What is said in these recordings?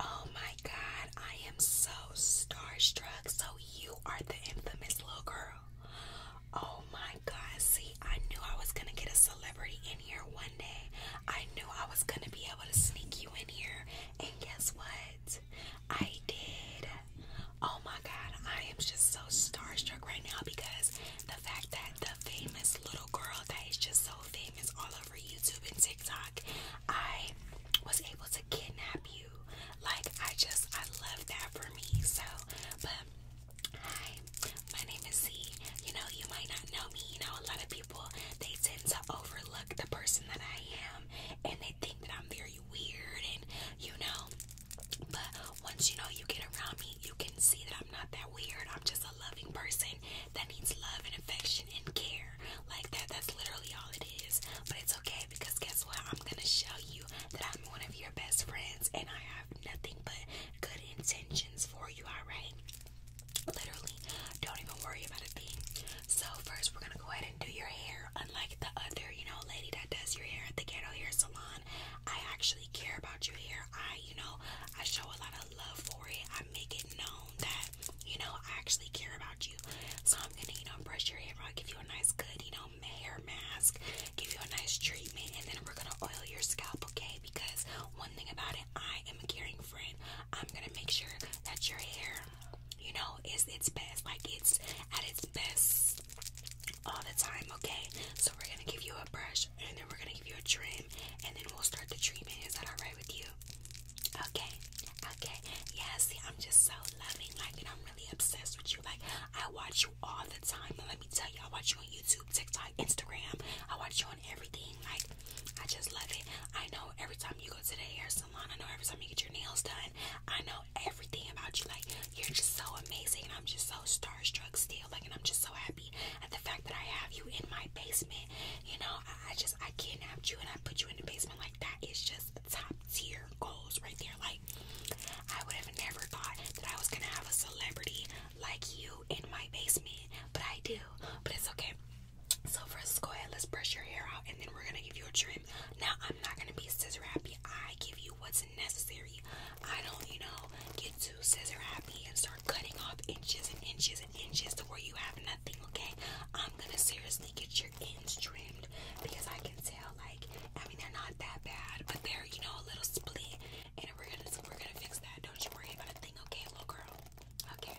Oh my god, I am so starstruck. So, you are the infamous little girl. Oh my god, see, I knew I was gonna get a celebrity in here one day. I knew I was gonna be able to sneak you in here. And guess what? I did. Oh my god, I am just so starstruck right now because the fact that the famous little girl that is just so famous all over YouTube and TikTok, I was able to kidnap you. Like, I just, I love that for me. So, but hi, my name is Z. You know, you might not know me. You know, a lot of people, they tend to overlook the person that I am and they think that I'm very weird and, you know, but once you know you get around me, you can see that I'm not that weird. I'm just a loving person that needs love and affection and care like that. That's literally all it is. But it's okay because guess what? I'm gonna show you that I'm one of your best friends and I have nothing but good intentions for you, alright? Literally, don't even worry about a thing. So, first, we're gonna go ahead and do your hair. Unlike the other, you know, lady that does your hair at the ghetto hair salon, I actually care about your hair. I, you know, I show a lot of love for it. I make it known that you know, I actually care about you. So I'm gonna, you know, brush your hair out, give you a nice good, you know, hair mask, give you a nice treatment, and then we're gonna oil your scalp, okay? Because one thing about it, I am a caring friend. I'm gonna make sure that your hair, you know, is its best, like it's at its best all the time, okay? So we're gonna give you a brush and then we're gonna give you a trim and then we'll start the treatment. Is that alright with you? Okay, okay. Yeah, see, I'm just so loving, like, and I'm really obsessed with you. Like, I watch you all the time. And let me tell you, I watch you on YouTube, TikTok, Instagram. I watch you on everything. Like, I just love it. I know every time you go to the hair salon, I know every time you get your nails done, I know everything about you. Like, you're just so amazing, and I'm just so starstruck still. Like, and I'm just so happy at the fact that I have you in my basement. You know, I just I can't have you and I put you in the basement like that is just top tier goals right there. Like I would have never thought that I was gonna have a celebrity like you in my basement, but I do. But it's okay. So first, go ahead. Let's brush your hair out, and then we're gonna give you a trim. Now I'm not gonna be scissor happy. I give you what's necessary. I don't, you know, get too scissor happy and start cutting off inches and inches inches to where you have nothing, okay? I'm gonna seriously get your ends trimmed because I can tell, like, I mean, they're not that bad, but they're, you know, a little split, and we're gonna we're gonna fix that. Don't you worry about a thing, okay, little girl? Okay.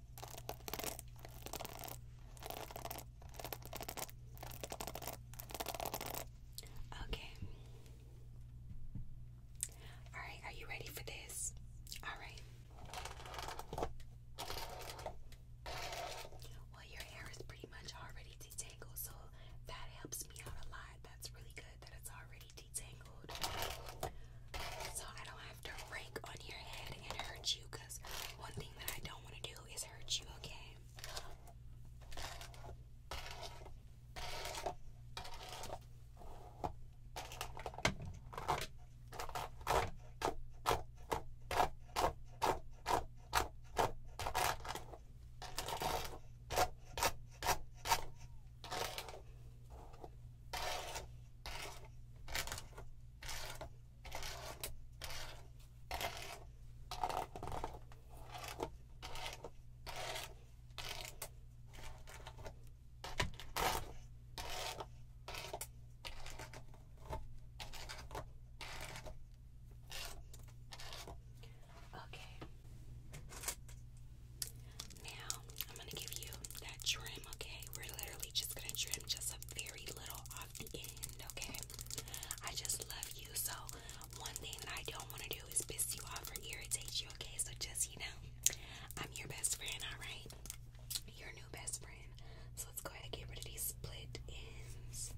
Okay. All right, are you ready for this? All right. Well, your hair is pretty much already detangled, so that helps me out a lot. That's really good that it's already detangled. So I don't to rake on your head and hurt you because one thing that I don't want to do is hurt you, Okay, Okay. Now I'm going to give you that trim okay? We're literally just gonna trim just a very little off the end, okay? I just love you, so one thing that I don't wanna do is piss you off or irritate you, okay? So just, you know, I'm your best friend, alright? Your new best friend. So let's go ahead and get rid of these split ends.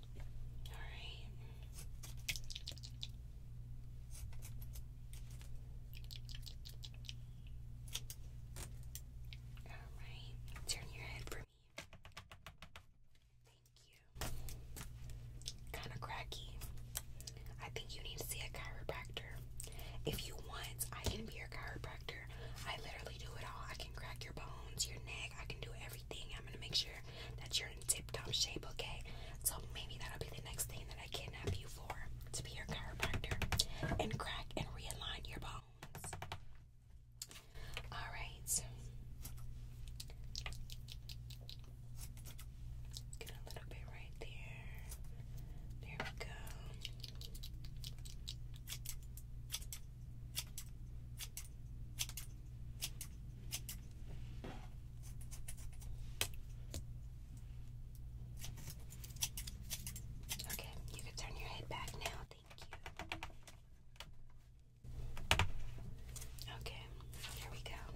All right. All right. Turn your head for me. Thank you. Kind of cracky. I think you need to see a chiropractor. If you want, I can be your chiropractor. I literally do it all. I can crack your bones, your neck. I can do everything. I'm gonna make sure that you're in tip-top shape, okay? So maybe that'll be the next thing that I kidnap you for to be your chiropractor and crack and realign your bones. Alright. Get a little bit right there. There we go. Okay, you can turn your head back now. Thank you. Okay, here we go.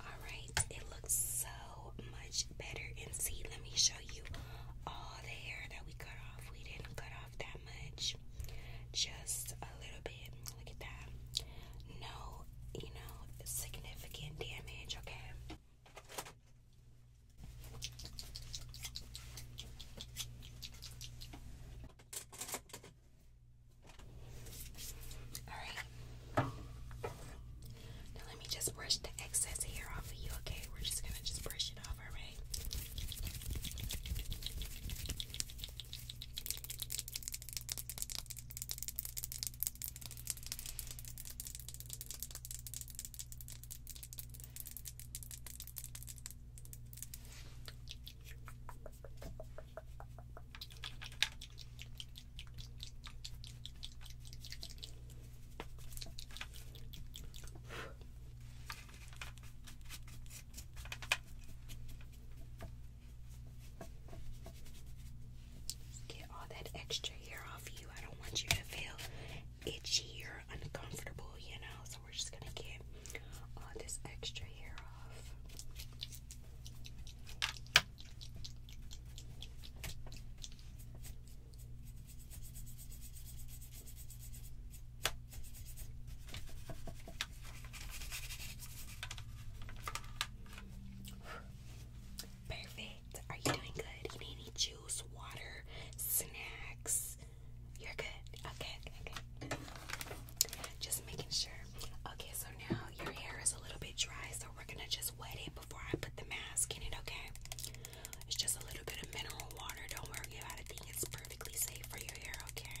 Alright, it looks so much better. And see, let me show you all the hair that we cut off. We didn't cut off that much, just a little bit. Look at that. No, you know, significant damage, okay? Alright. Now let me just brush the excess hair off of you, okay? We're just gonna just brush it off, alright? Okay. Get all that extra hair off you. I don't want you to feel itchy or uncomfortable, you know. So we're just gonna get all this extra hair off. Perfect. Are you doing good? need any juice, water, snacks, you're good. Okay, okay, okay. Just making sure. Okay, so now your hair is a little bit dry, so we're gonna just wet it before I put the mask in it, okay? It's just a little bit of mineral water. Don't worry about it. It's perfectly safe for your hair, okay?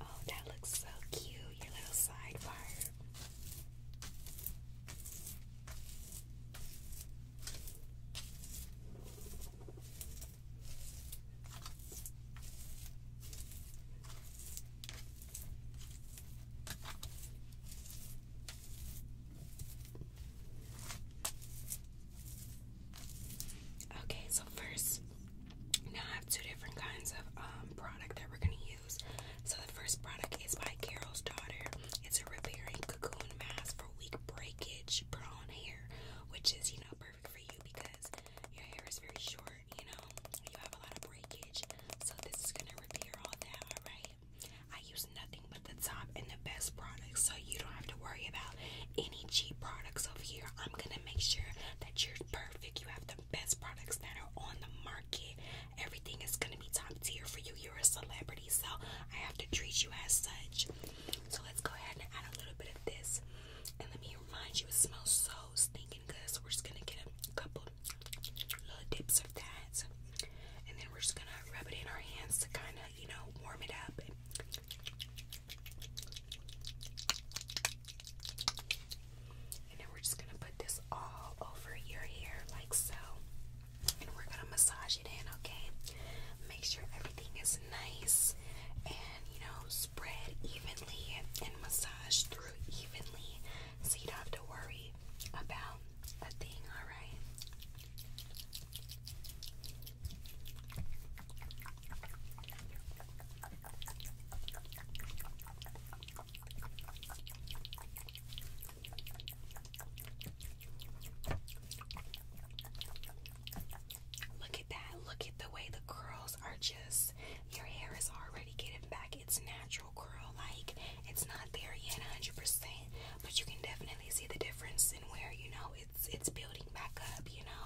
Oh, that looks so cute, your little sidebar. Okay, so first, now I have two different kinds of um, product that we're going to use. So the first product is by Carol's Daughter. It's a repairing cocoon mask for weak breakage prone hair, which is, you know, perfect for you because your hair is very short, you know, you have a lot of breakage. So this is going to I use nothing but the top and the best products, so you don't have to worry about any cheap products over here. I'm gonna make sure that you're perfect. You have the best products that are on the market. Everything is gonna be top tier for you. You're a celebrity, so I have to treat you as such. So let's go ahead and add a little bit of this. And let me remind you, it smells so stinking good. So we're just gonna get a couple little, dips of that. And then we're just gonna rub it in our hands to kind of, you know, warm it up. And then we're just gonna put this all over your hair, like so. And we're gonna massage it in, okay? Make sure everything is nice and, you know, spread evenly and massage through evenly so you don't have to worry about a thing, alright? Look at that. Look at the way the curls are just, your hair is already getting back its natural natural curl. Like it's not there yet 100%, but you can definitely see the difference in where, you know, it's it's building back up, you know.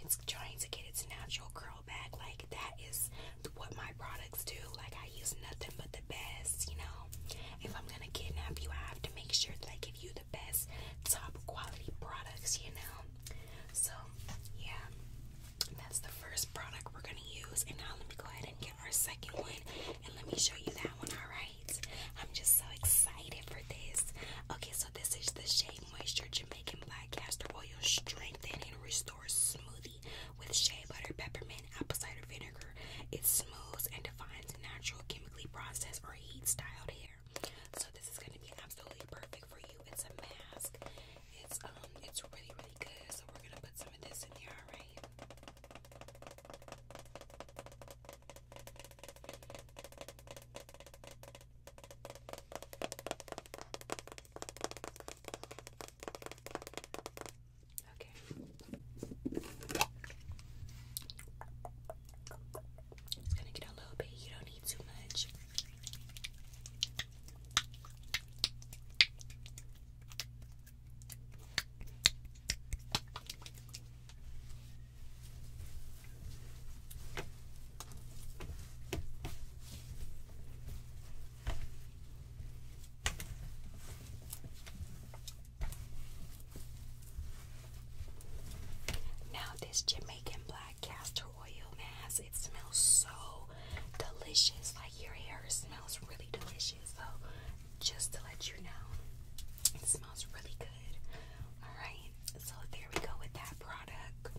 It's trying to get its natural curl back. Like that is what my products do. Like I use nothing but the best, you know. If I'm gonna kidnap you, I have to make sure that I give you the best top quality products, you know. So yeah. That's the first product we're going to use. And now let me go ahead and get our second one. And let me show you that one, alright? I'm just so excited for this. Okay, so this is the Shea Moisture Jamaican Black Castor Oil Strengthen and Restore Smoothie with shea butter, peppermint, apple cider vinegar. It smooths and defines natural, chemically processed, or heat styled hair. So, this is going to be absolutely perfect for you. It's a mask, it's um it's really really good. So we're gonna put some of this in here, alright? Okay. It's gonna get a little bit, you don't need too much. Now, this Jamaican black castor oil mask, it smells so delicious. Like your hair smells really delicious. So just to let you know, it smells really good. Alright, so there we go with that product.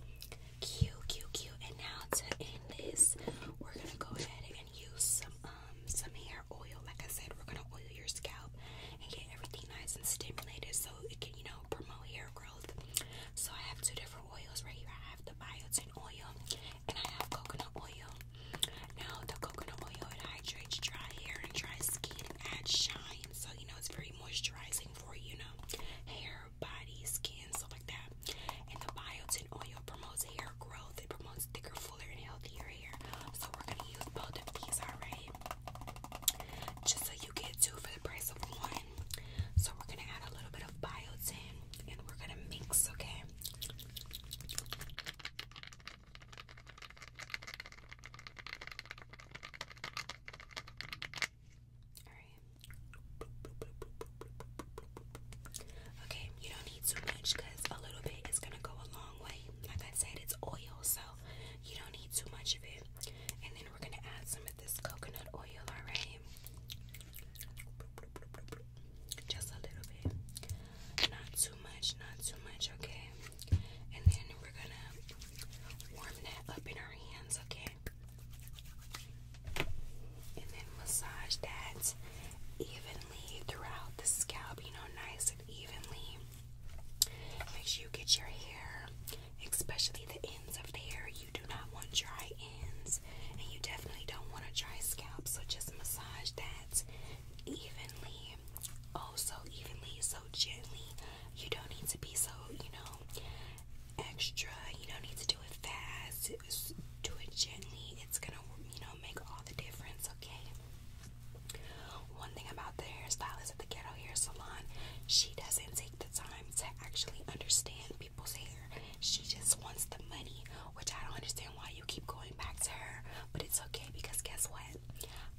Cute, cute, cute. And now to end this, we're gonna go ahead and use some um, some hair oil. Like I said, we're gonna oil your scalp and get everything nice and stimulated so it can, you know, promote hair growth. So I have two different oils right here. I have the biotin oil and I have coconut oil. Now the coconut oil hydrates dry hair and dry skin adds shine. So you know it's very moisturizing for you know hair, body, skin, stuff like that. And the biotin oil promotes hair growth. It promotes thicker, fuller, and healthier hair. So we're gonna use both of these, alright? Just so you get two for the price of one. So we're gonna add a little bit of biotin and we're gonna mix, okay? Okay, you don't need too much because a little bit is gonna go a long way. Like I said, it's oil, so you don't need too much of it. And then we're gonna add some of this coconut oil, alright? Just a little bit. Not too much, not too much, okay? And then we're gonna warm that up in our hands, okay? And then massage that evenly throughout the scalp, you know, nice and evenly. Make sure you get your hair, especially the ends of the hair, you do not want dry ends and you definitely don't want a dry scalp, so just massage that evenly. Oh, so evenly, so gently. You don't need to be so, you know, extra. You don't need to do it fast. Just do it gently. It's gonna, you know, make all the difference, okay? One thing about the hairstylist at the Ghetto Hair Salon, she doesn't take the time to actually understand people's hair. She just wants the money, which I don't understand why you keep going back to her, but it's okay because guess what?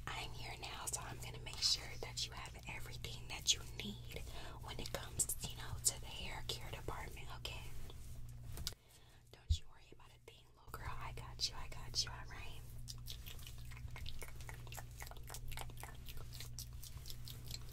I'm here now, so I'm gonna make sure that you have everything that you need when it comes, you know, to the hair care department, okay? Don't you worry about a thing, little girl. I got you, I got you, alright?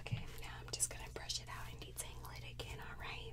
Okay, now I'm just going to brush it out and detangle it again, alright?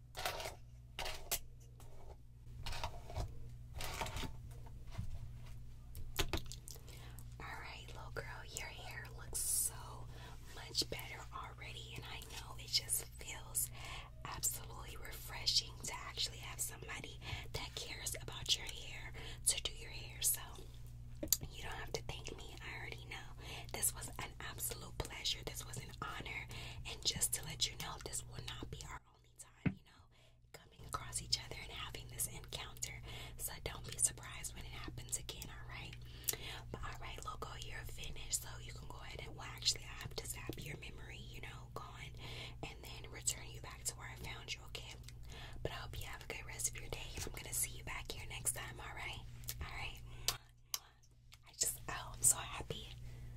Alright, little girl, your hair looks so much better already, and I know it just feels absolutely refreshing to actually have somebody that cares about your hair to do your hair. So, you don't have to thank me, I already know. This was an absolute pleasure, this was an honor, and just to let you know, this will not be our only time, you know, coming across each other and having this encounter. So don't be surprised when it happens again, alright? But alright, Loco, you're finished. So you can go ahead and, well, actually, I have to zap your memory, you know, gone, and then return you back to where I found you, okay? But I hope you have a good rest of your day, I'm gonna see you back here next time, alright? Alright? I just, oh, I'm so happy.